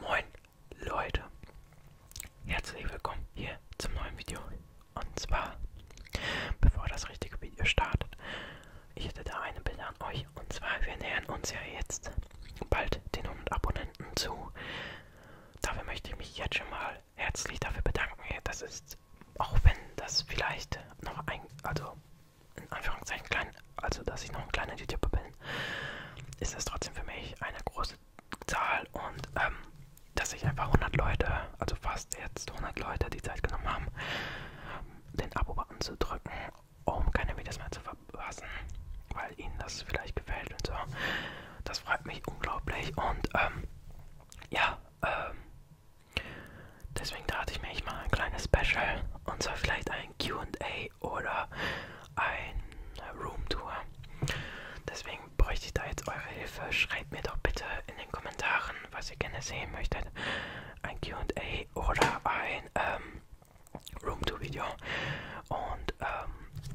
Moin Leute, herzlich willkommen hier zum neuen Video. Und zwar, bevor das richtige Video startet, ich hätte da eine Bitte an euch. Und zwar, wir nähern uns ja jetzt bald den 100 Abonnenten zu. Dafür möchte ich mich jetzt schon mal herzlich dafür bedanken. Das ist, auch wenn das vielleicht noch ein, also in Anführungszeichen kleinen also dass ich noch ein kleiner YouTuber bin, ist das trotzdem für mich eine große Zahl und ähm, dass sich einfach 100 Leute, also fast jetzt 100 Leute die Zeit genommen haben, den Abo-Button zu drücken, um keine Videos mehr zu verpassen, weil ihnen das vielleicht gefällt und so. Das freut mich unglaublich und ähm, ja, ähm, deswegen dachte ich mir, ich mache ein kleines Special und zwar vielleicht ein QA oder eine Roomtour. Deswegen bräuchte ich da jetzt eure Hilfe. Schreibt mir doch bitte in den Kommentaren, was ihr gerne sehen möchtet. Ein QA oder ein ähm, Roomtour-Video. Und ähm,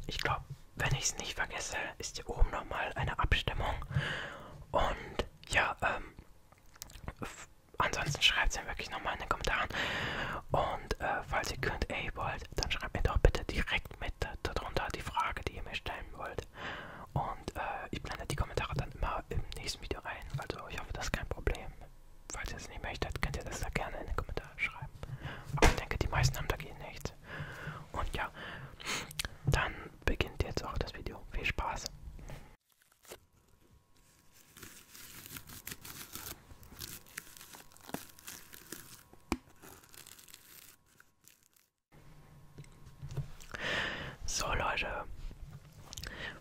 ich glaube, wenn ich es nicht vergesse, ist hier oben nochmal eine Abstimmung. Und ja, ähm, ansonsten schreibt es mir wirklich nochmal in den Kommentaren. Und und äh, falls ihr könnt, ey wollt, dann schreibt mir doch bitte direkt mit darunter die Frage, die ihr mir stellen wollt. Und äh, ich blende die Kommentare dann immer im nächsten Video ein. Also ich hoffe, das ist kein Problem. Falls ihr es nicht möchtet, könnt ihr das da gerne in den Kommentaren schreiben. Aber ich denke, die meisten haben dagegen nichts. Und ja, dann beginnt jetzt auch das Video. Viel Spaß! So Leute,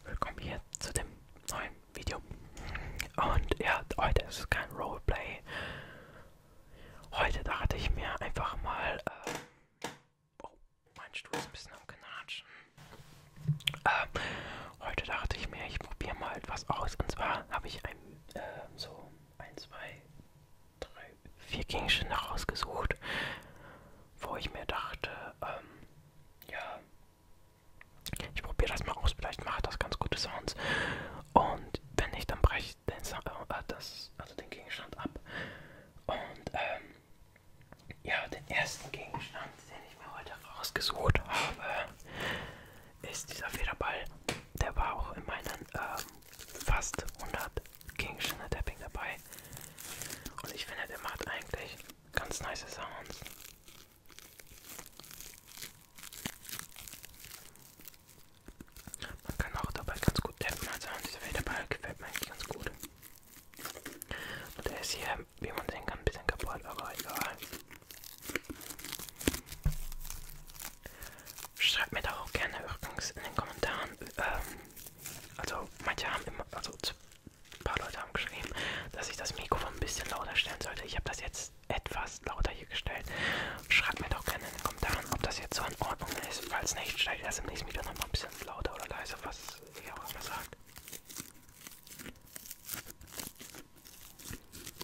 willkommen hier zu dem neuen Video. Und ja, heute ist es kein Roleplay. Heute dachte ich mir einfach mal, äh, oh, mein Stuhl ist ein bisschen am Knatschen. Äh, Heute dachte ich mir, ich probiere mal etwas aus. Und zwar habe ich ein, äh, so ein, zwei, drei, vier Gegenstände rausgesucht, wo ich mir dachte, ähm, ja, ich probiere das mal aus. Vielleicht macht das ganz gute Sounds. Und wenn nicht, dann breche ich den, äh, das, also den Gegenstand ab. Und ähm, ja, den ersten Gegenstand, den ich mir heute rausgesucht habe, ist dieser Federball, der war auch in meinen ähm, fast 100 King Shinner Tapping dabei. Und ich finde, der macht eigentlich ganz nice Sounds. Man kann auch dabei ganz gut tappen, also dieser Federball gefällt mir eigentlich ganz gut. Und der ist hier, wie man sehen kann, ein bisschen kaputt, aber egal. Schreibt mir doch auch gerne übrigens in den Kommentaren. Ähm, also manche haben immer, also ein paar Leute haben geschrieben, dass ich das Mikrofon ein bisschen lauter stellen sollte. Ich habe das jetzt etwas lauter hier gestellt. Schreibt mir doch gerne in den Kommentaren, ob das jetzt so in Ordnung ist. Falls nicht, stelle ich das im nächsten Video nochmal ein bisschen lauter oder leiser, was ihr auch immer sagt.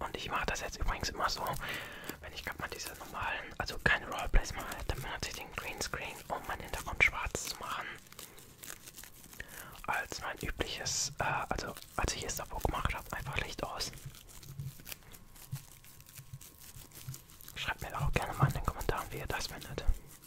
Und ich mache das jetzt übrigens immer so, wenn ich gerade mal diese normalen, also keine Rollplays mache, dann benutze ich den Greenscreen, um meinen Hintergrund schwarz zu machen. Als mein übliches, äh, also als ich es davor gemacht habe, einfach Licht aus. Schreibt mir doch auch gerne mal in den Kommentaren, wie ihr das findet.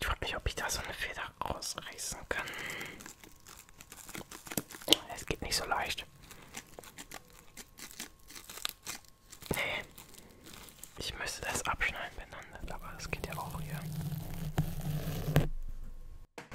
Ich frage mich, ob ich da so eine Feder rausreißen kann. Es geht nicht so leicht. Nee. Ich müsste das abschneiden, wenn dann, aber das geht ja auch hier.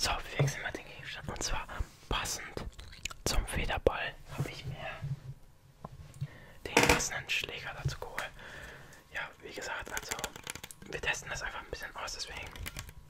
So, wir wechseln mal den Gegenstand und zwar passend zum Federball habe ich mir den passenden Schläger dazu geholt. Ja, wie gesagt, also wir testen das einfach ein bisschen aus, deswegen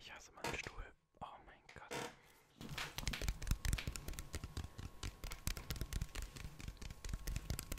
Ich hasse meinen Stuhl. Oh mein Gott.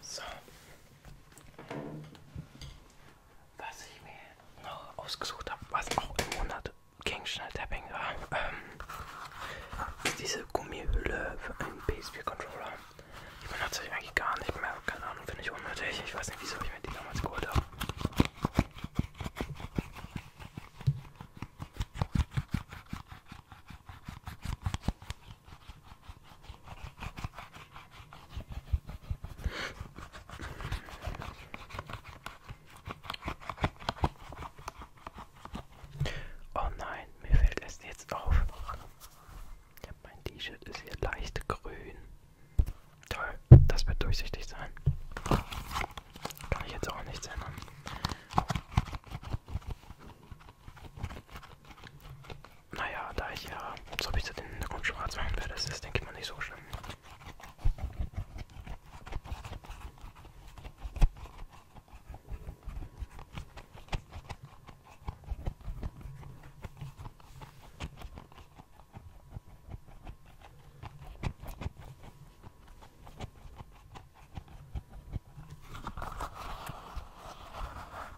So. Was ich mir noch ausgesucht habe, was auch im Monat gegen Schnelltapping war, ähm, ist diese Gummihülle für einen PSP-Controller. Ich benutze sie eigentlich gar nicht mehr, keine Ahnung, finde ich unnötig. Ich weiß nicht, wieso ich mir die damals geholt habe. Oh nein, mir fällt es jetzt auf. Mein T-Shirt ist hier leicht grün. Toll, das wird durchsichtig sein. Kann ich jetzt auch nichts ändern. Naja, da ich ja so bis zu den Hintergrund schwarz machen werde, ist das, denke ich mal, nicht so schlimm.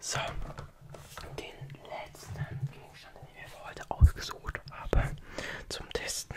So, den letzten Gegenstand, den ich mir für heute ausgesucht habe, zum Testen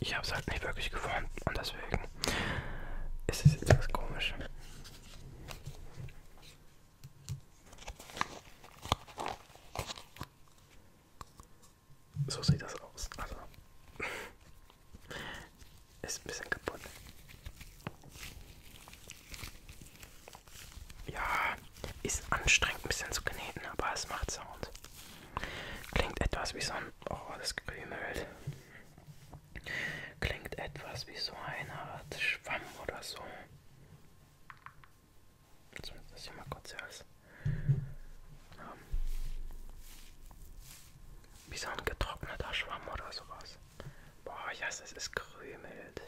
ich habe es halt nicht wirklich geformt und deswegen ist es jetzt was komisch. So sieht das aus. Also ist ein bisschen kaputt. Ja, ist anstrengend ein bisschen zu kneten, aber es macht Sound. Klingt etwas wie so ein Oh, das Krümelt klingt etwas wie so eine Art Schwamm oder so. Jetzt muss das hier mal kurz alles ähm, wie so ein getrockneter Schwamm oder sowas. Boah, ich hasse es, es krümelt.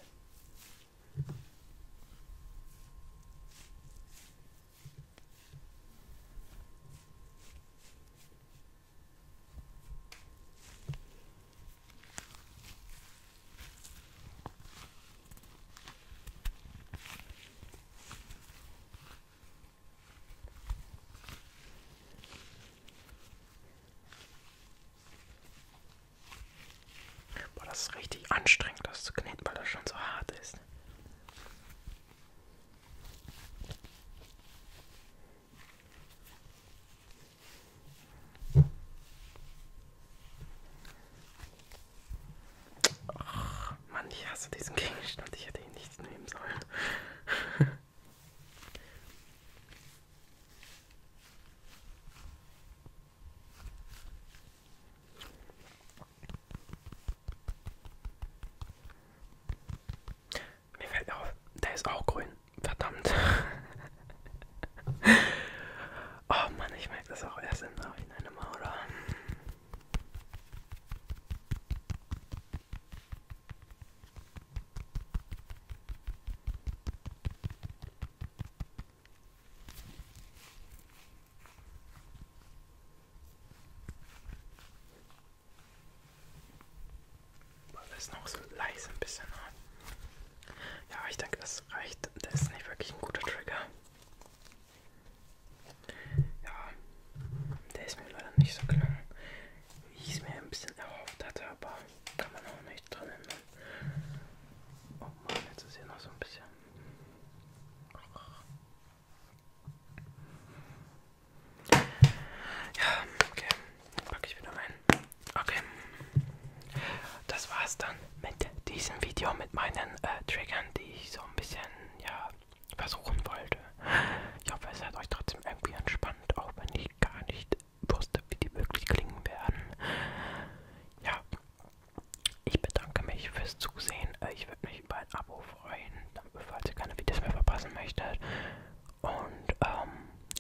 Boah, das ist richtig anstrengend, das zu kneten, weil das schon so hart ist. Ach, Mann, ich hasse diesen Gegenstand. Ich hätte ihn nicht nehmen sollen. Mir fällt auf, der ist auch grün. Verdammt. oh Mann, ich merke das auch erst im Nachhinein immer, oder? Das ist noch so leise ein bisschen. Ja, ich denke, das reicht. Das ist nicht wirklich ein guter Trigger. Ja, der ist mir leider nicht so gelungen, wie ich es mir ein bisschen erhofft hatte, aber kann man auch nicht dran ändern. Oh Mann, jetzt ist hier noch so ein bisschen. Ja, okay. Packe ich wieder rein. Okay. Das war's dann mit diesem Video, mit meinen äh, Triggern, die ich so ein bisschen, ja, versuchen wollte. Ich hoffe, es hat euch trotzdem irgendwie entspannt, auch wenn ich gar nicht wusste, wie die wirklich klingen werden. Ja. Ich bedanke mich fürs Zusehen. Äh, ich würde mich über ein Abo freuen, falls ihr keine Videos mehr verpassen möchtet. Und ähm,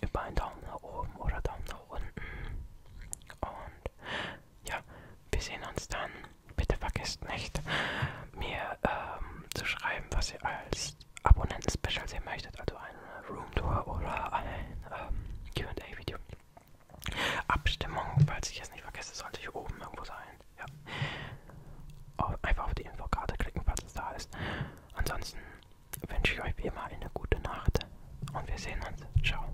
über einen Daumen nach oben oder Daumen nach unten. Und ja, wir sehen uns dann. Bitte vergesst nicht, mir ähm, zu schreiben, was ihr als Abonnenten-Special sehen möchtet. Also eine Roomtour oder ein ähm, QA-Video. Abstimmung, falls ich es nicht vergesse, sollte ich oben irgendwo sein. Ja. Auf, oh, einfach auf die Infokarte klicken, falls es da ist. Ansonsten wünsche ich euch wie immer eine gute Nacht und wir sehen uns. Ciao.